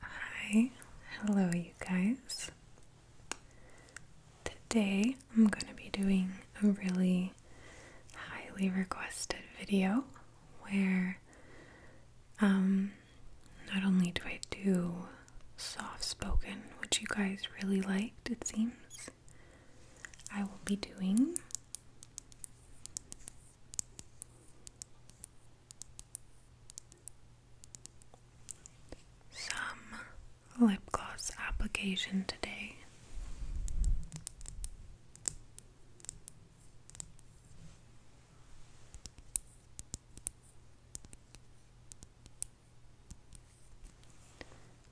Hi, hello, you guys. Today I'm going to be doing a really highly requested video where um, not only do I do soft spoken, which you guys really liked, it seems, I will be doing some lip gloss application today.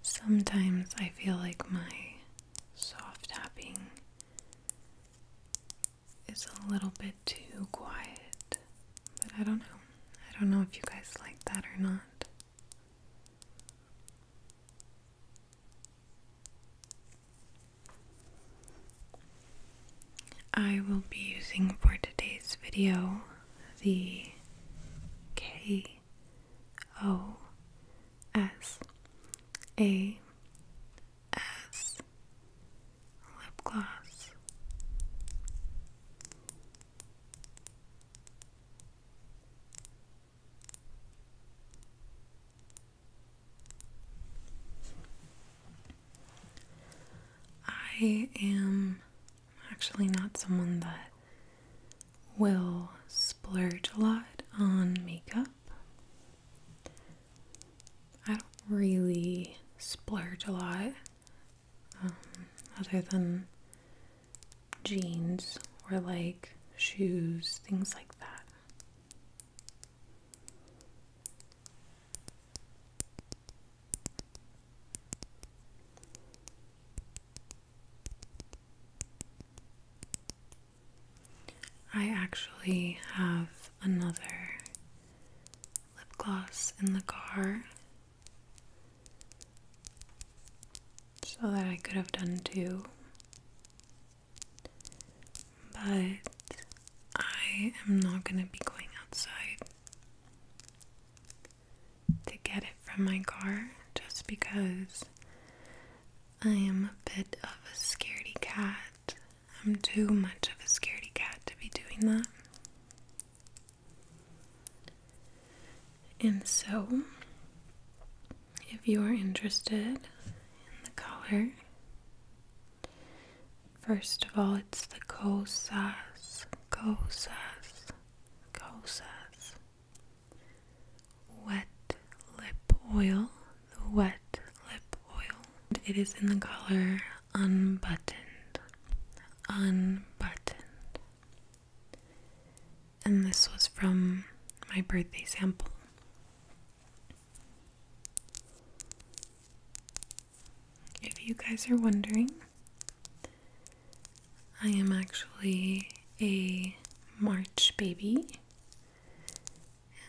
Sometimes I feel like my soft tapping is a little bit too quiet, but I don't know. I don't know if you guys like that or not. I will be using for today's video the K O S A S lip gloss. I am I'm actually not someone that will splurge a lot on makeup. I don't really splurge a lot um, other than jeans or like shoes, things like that. I actually have another lip gloss in the car so that I could have done two, but I am not going to be going outside to get it from my car just because I am a bit of a scaredy cat. I'm too much of a scaredy cat to be doing that. And so, if you are interested in the color, first of all, it's the Kosas, Kosas causas wet lip oil, the wet lip oil. It is in the color unbuttoned, unbuttoned. And this was from my birthday sample. If you guys are wondering, I am actually a March baby,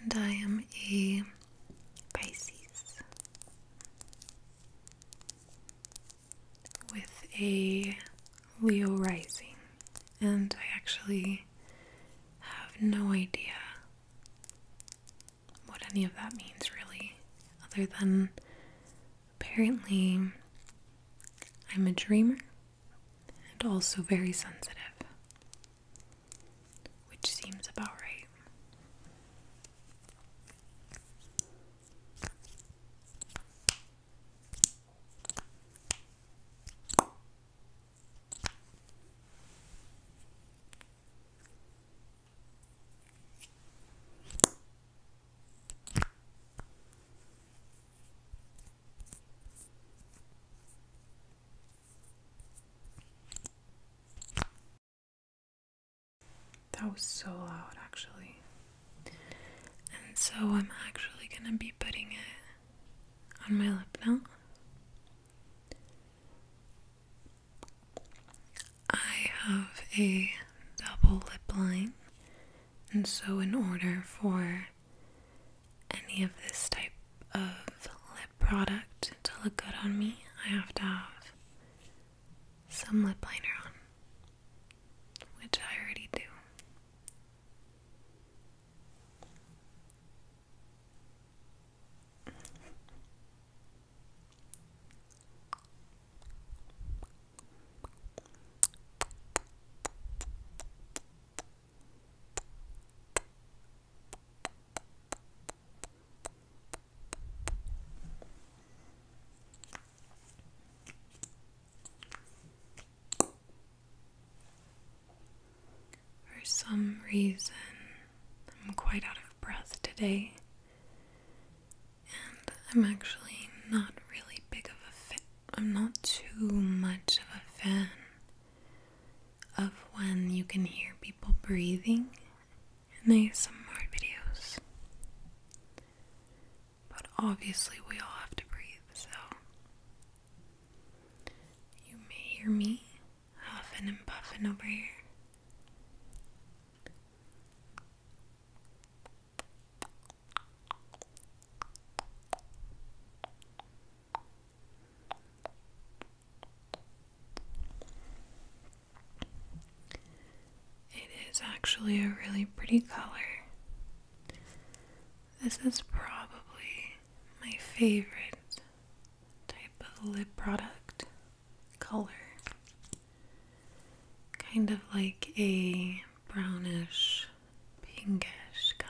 and I am a Pisces with a Leo rising, and I actually have no idea what any of that means, really, other than Apparently, I'm a dreamer and also very sensitive, which seems about right. That was so loud, actually. And so I'm actually going to be putting it on my lip now. I have a double lip line, and so, in order for any of this type of lip product to look good on me, I have to have some lip liner on, which I already do. For some reason, I'm quite out of breath today and I'm actually not really big of a fan. am not too much of a fan of when you can hear people breathing in ASMR videos. But obviously, we all have to breathe, so you may hear me huffing and puffing over here. It is actually a really pretty color. This is probably my favorite type of lip product color. Kind of like a brownish, pinkish color.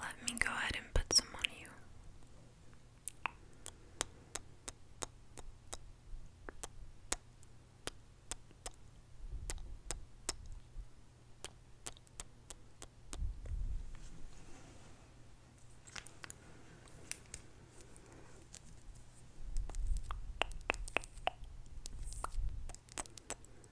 let me go ahead and put some on you.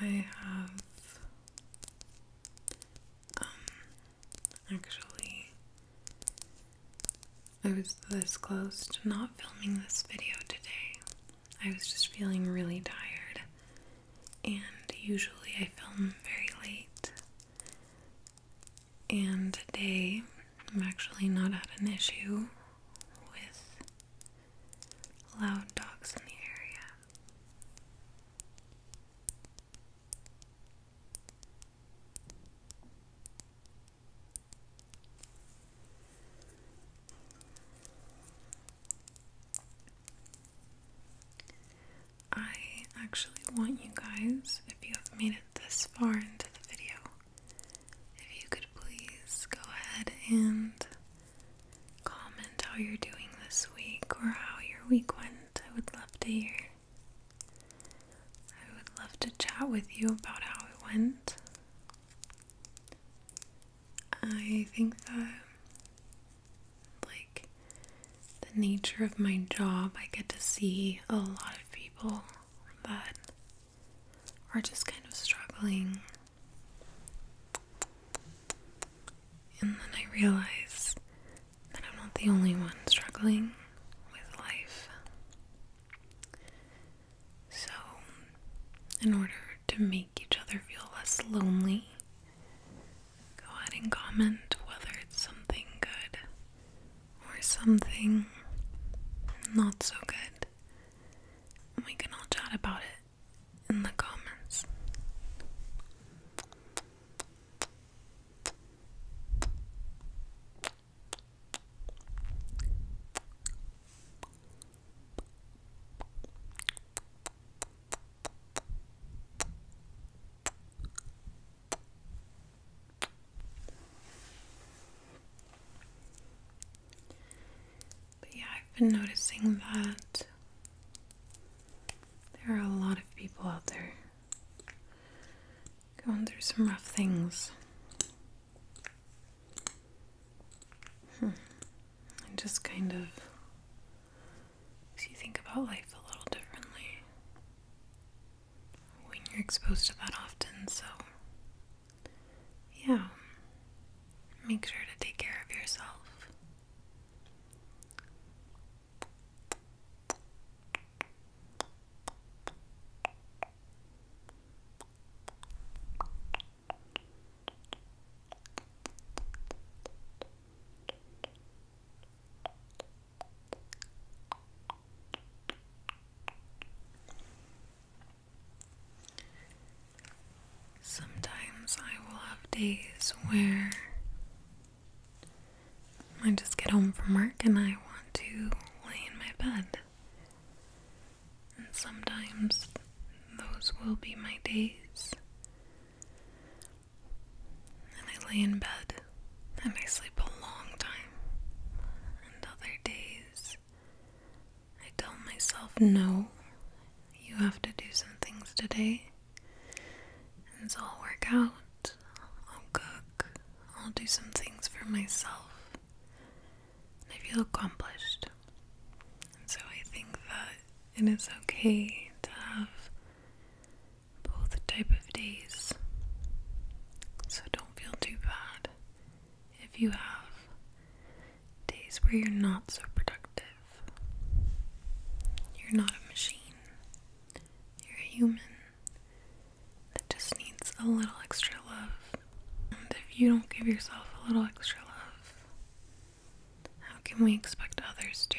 I have um actually I was this close to not filming this video today. I was just feeling really tired and usually I film very late. And today i am actually not at an issue with loud dogs in the area. I actually want you guys, if you have made it this far into the video, if you could please go ahead and comment how you're doing this week or how your week went, I would love to hear. I would love to chat with you about how it went. I think that, like, the nature of my job, I get to see a lot of people that are just kind of struggling. And then I realize that I'm not the only one struggling with life. So, in order to make each other feel less lonely, go ahead and comment whether it's something good or something not so good, we can all chat about it in the comments yeah, I've been noticing that there are a lot of people out there going through some rough things. Hmm. And just kind of makes you think about life a little differently when you're exposed to that often. So, yeah, make sure to take care of yourself. Sometimes I will have days where I just get home from work and I want to lay in my bed. And sometimes those will be my days. And I lay in bed and I sleep a long time. And other days, I tell myself, no, you have to do some things today. And so i work out, I'll cook, I'll do some things for myself. And I feel accomplished. And so I think that it is okay to have both type of days. So don't feel too bad if you have days where you're not so productive. You're not a machine. You're a human that just needs a little extra love. And if you don't give yourself a little extra love, how can we expect others to?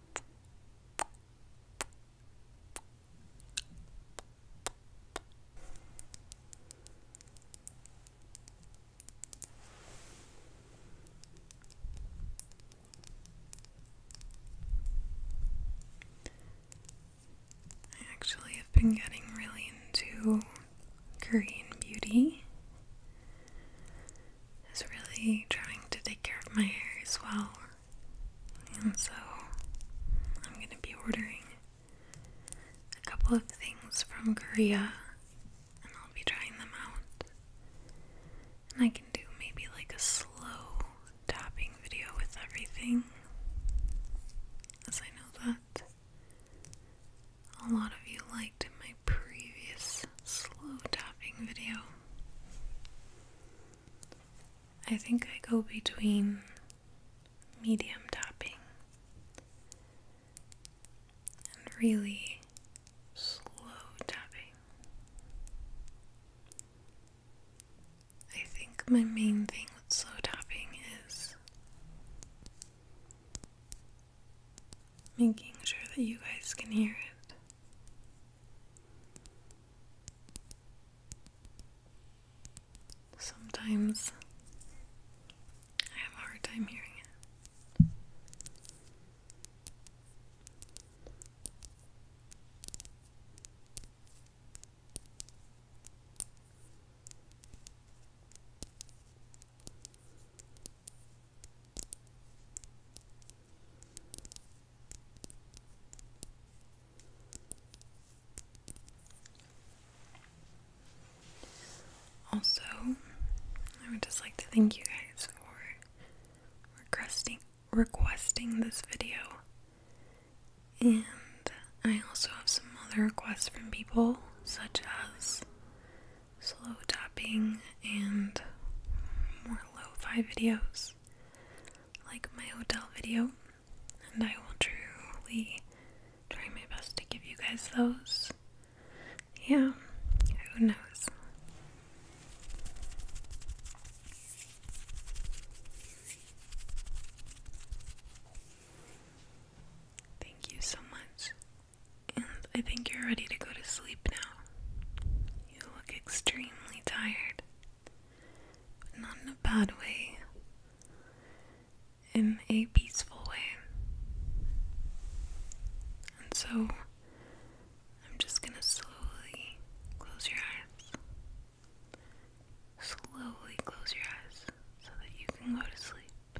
I actually have been getting really into Korean beauty is really trying to take care of my hair as well. And so I'm going to be ordering a couple of things from Korea and I'll be trying them out. And I can do maybe like a slow tapping video with everything. As I know that a lot of you liked my previous slow tapping video. I think I go between medium tapping and really slow tapping. I think my main thing with slow tapping is making sure that you guys can hear it. Sometimes I have a hard time hearing it. Also, I would just like to thank you guys for requesting requesting this video. And I also have some other requests from people such as slow tapping and more lo fi videos like my hotel video, and I will truly try my best to give you guys those. Yeah, who knows? Thank you so much and I think you're ready to go to sleep now. You look extremely tired, but not in a bad way, in a peaceful way. And so, I'm just gonna slowly close your eyes. Slowly close your eyes so that you can go to sleep.